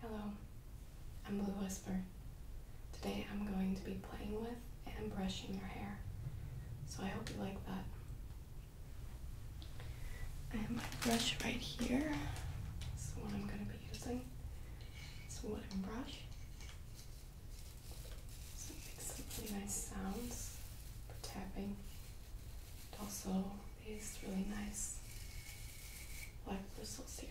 Hello, I'm Blue Whisper. Today I'm going to be playing with and brushing your hair, so I hope you like that. I have my brush right here. This is the one I'm going to be using. It's a wooden brush. So it makes some really nice sounds for tapping. But also these really nice black bristles here.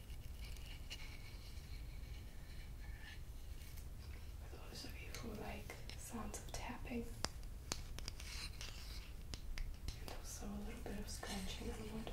For those of you who like sounds of tapping, and also a little bit of scratching on wood.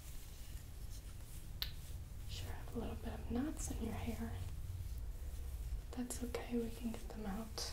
Sure have a little bit of knots in your hair. That's okay, we can get them out.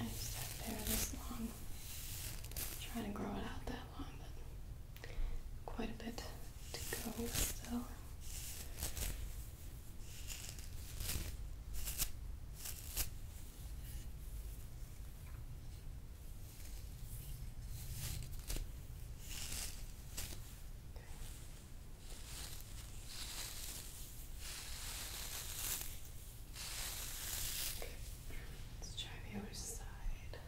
I've sat there this long, trying to grow it out that long, but quite a bit to go still. Let's try the other side. Okay.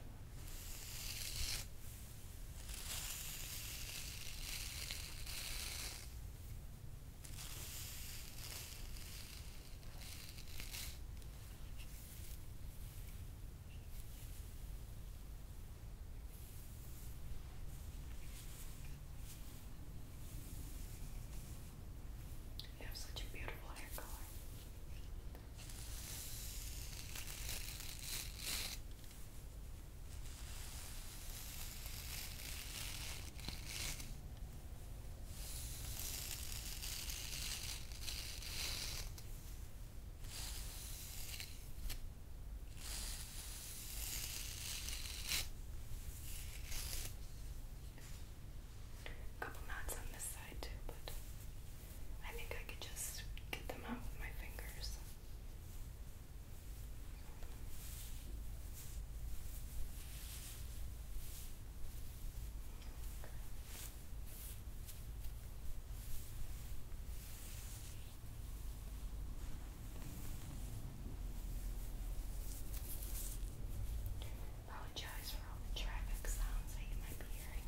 You have such a beautiful hair color. A couple knots on this side too, but I think I could just get them out with my fingers. Apologize for all the traffic sounds that you might be hearing.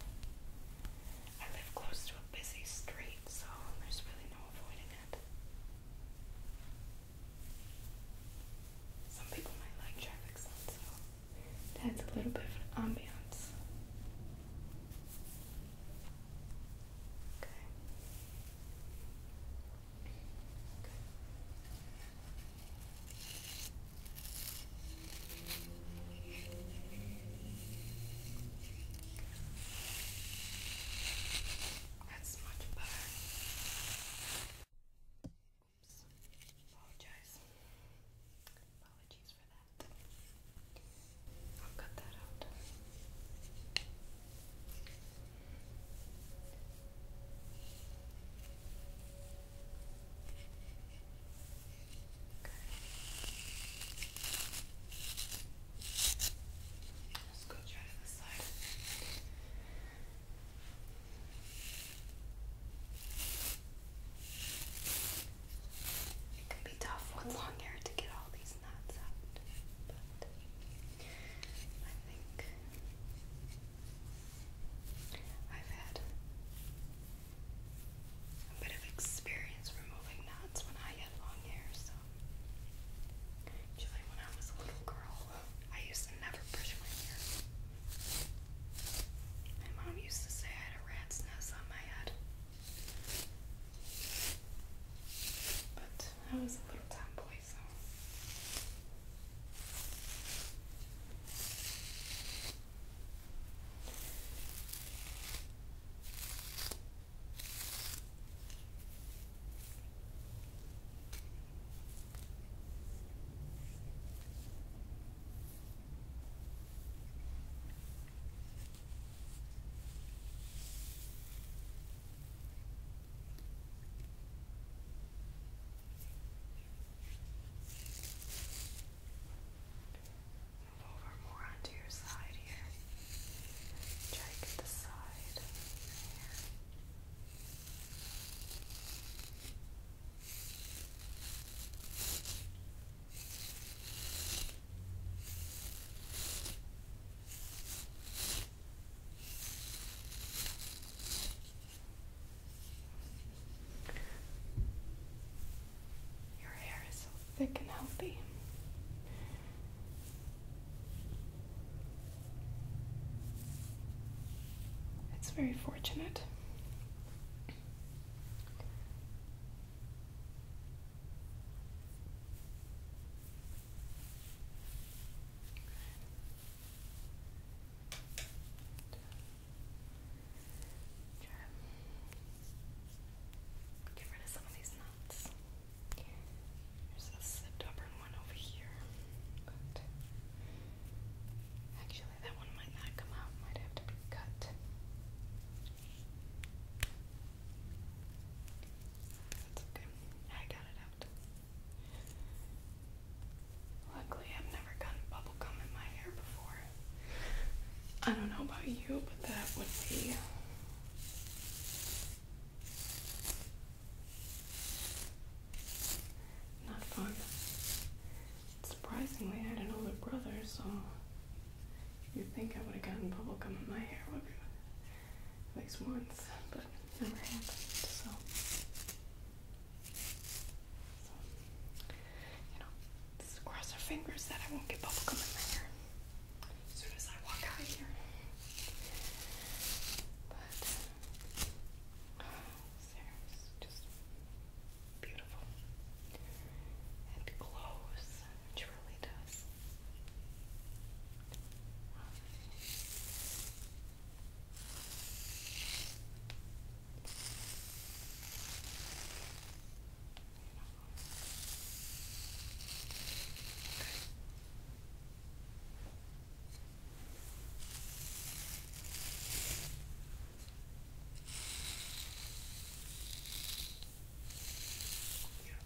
I live close to a busy street, so there's really no avoiding it. Some people might like traffic sounds, though to adds a little bit of an ambiance. Okay. Good. That's much better. Oops. Apologize. Apologies for that. I'll cut that out. Let's go try to the side. It can be tough with long hair to get all these knots out, but I think I've had a bit of experience removing knots when I had long hair, so usually when I was a little girl, I used to never brush my hair. My mom used to say I had a rat's nest on my head. But I was a little tomboy, so. Move over more onto your side here. Try to get the side there. Good. Your hair is so thick and healthy. It's very fortunate. Get rid of some of these nuts. There's a stubborn one over here. Actually, that one might not come out, might have to be cut. That's okay. I got it out. Luckily, I've never gotten bubble gum in my hair before. I don't know about you, but that would be. Not fun. Surprisingly, I had an older brother, so you'd think I would have gotten bubble gum in my hair at least once, but it never happened. So, you know, just cross our fingers that I won't get bubble gum in my hair as soon as I walk out of here. But uh, Sarah's just beautiful. It glows, it really does. Beautiful hair. We got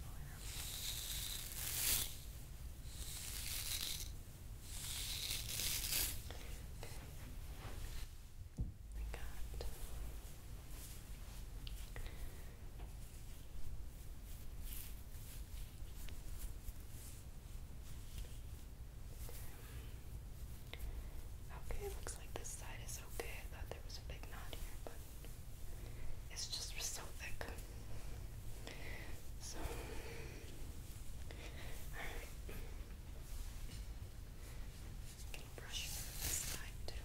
Okay, looks like this side is okay. I thought there was a big knot here, but it's just so thick. So, alright. I can brush this side too.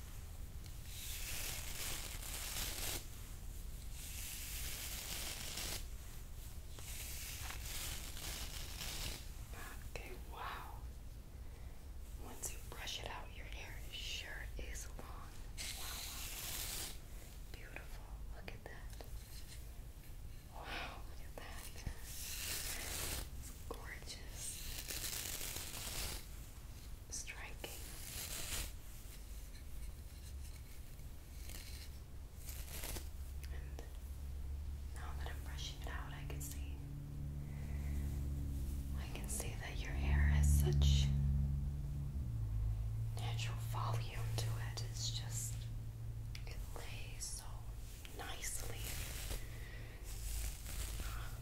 Okay, wow. Once you brush it out, your hair sure is long. Wow, Beautiful. Look at that. Wow, look at that. gorgeous striking. now that I'm brushing it out, I can see I can see that your hair has such natural volume to it. It's just it lays so nicely. Um,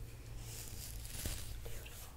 beautiful.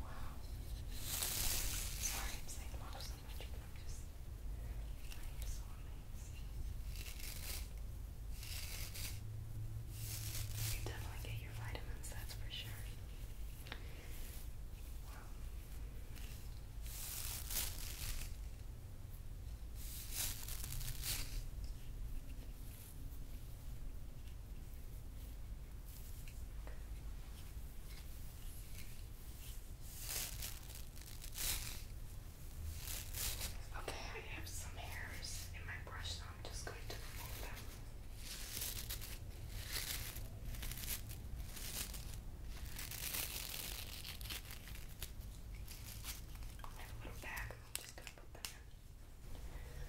Wow. Sorry I'm saying wow so much, but I'm just, I am so amazed. You definitely get your vitamins, that's for sure. Wow. Okay, I have some hairs in my brush, so I'm just going to remove them. I have a little bag, I'm just going to put them in.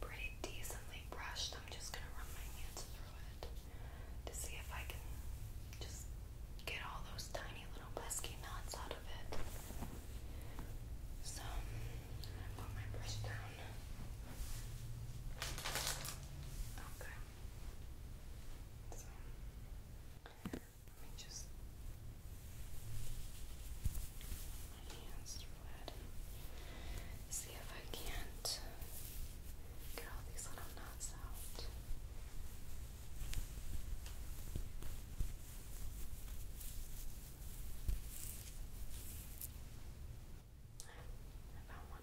pretty decently brushed. I'm just gonna run my hands through it to see if I can just get all those tiny little pesky knots out of it. So i put my brush down. Okay. So let me just. My hands red. See if I can't get all these little knots out. I found one.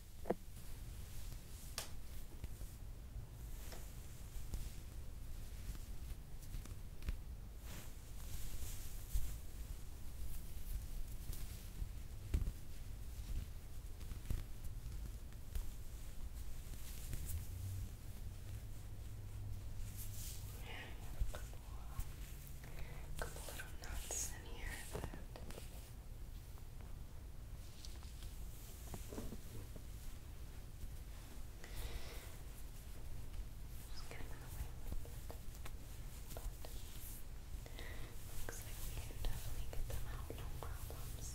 couple, couple little knots in here that just get looks like we can definitely get them out, no problems.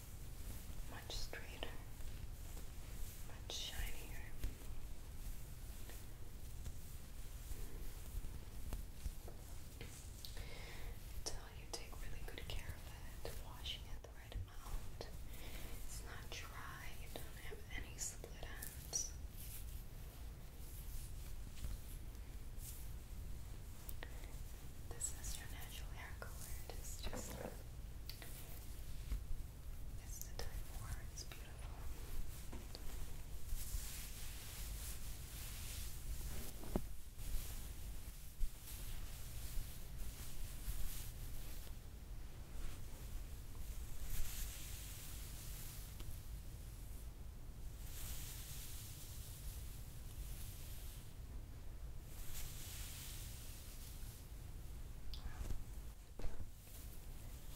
much straighter, much shinier. Until you take really good care of it, washing it the right amount. It's not dry, you don't have any split ends. This is your natural hair just it's the time war, it's beautiful.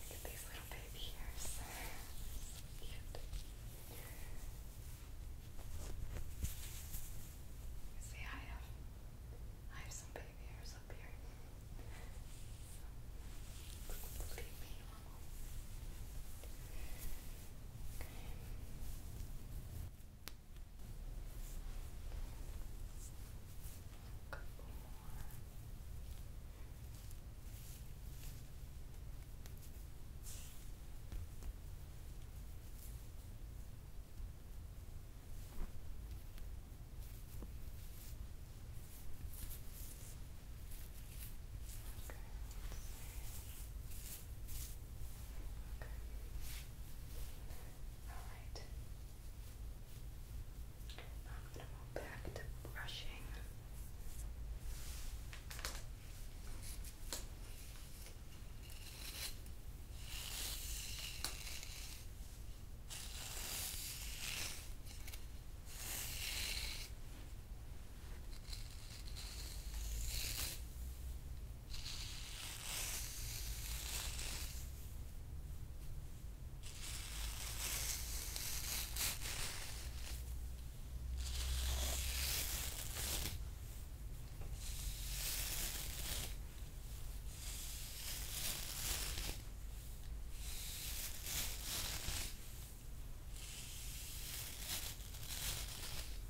Look at these little baby ears. so cute. I have, some baby ears up here. Leave me Okay couple more. Okay, let's see. Okay. Alright. Now I'm going to move back to brushing.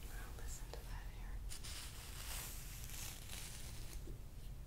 Well, listen to that here.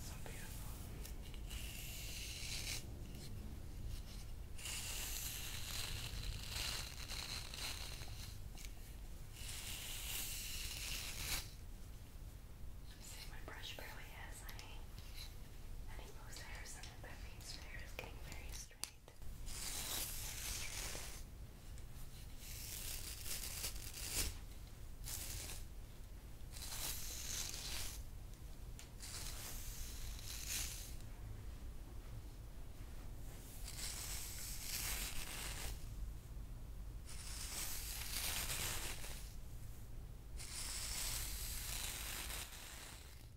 So beautiful. See, my brush barely has because I, any loose hairs in it, that means your hair is getting very straight. Okay,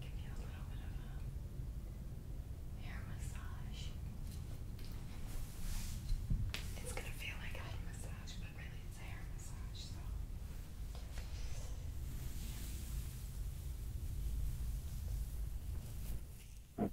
give you a little bit of a hair massage. It's gonna feel like a head massage, but really it's a hair massage, so. Okay.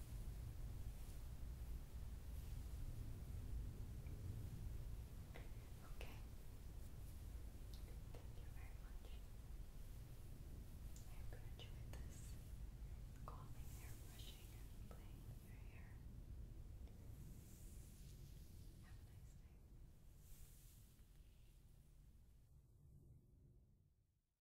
Okay. Thank you very much. I enjoyed this calming brushing and playing your hair. Have a nice day.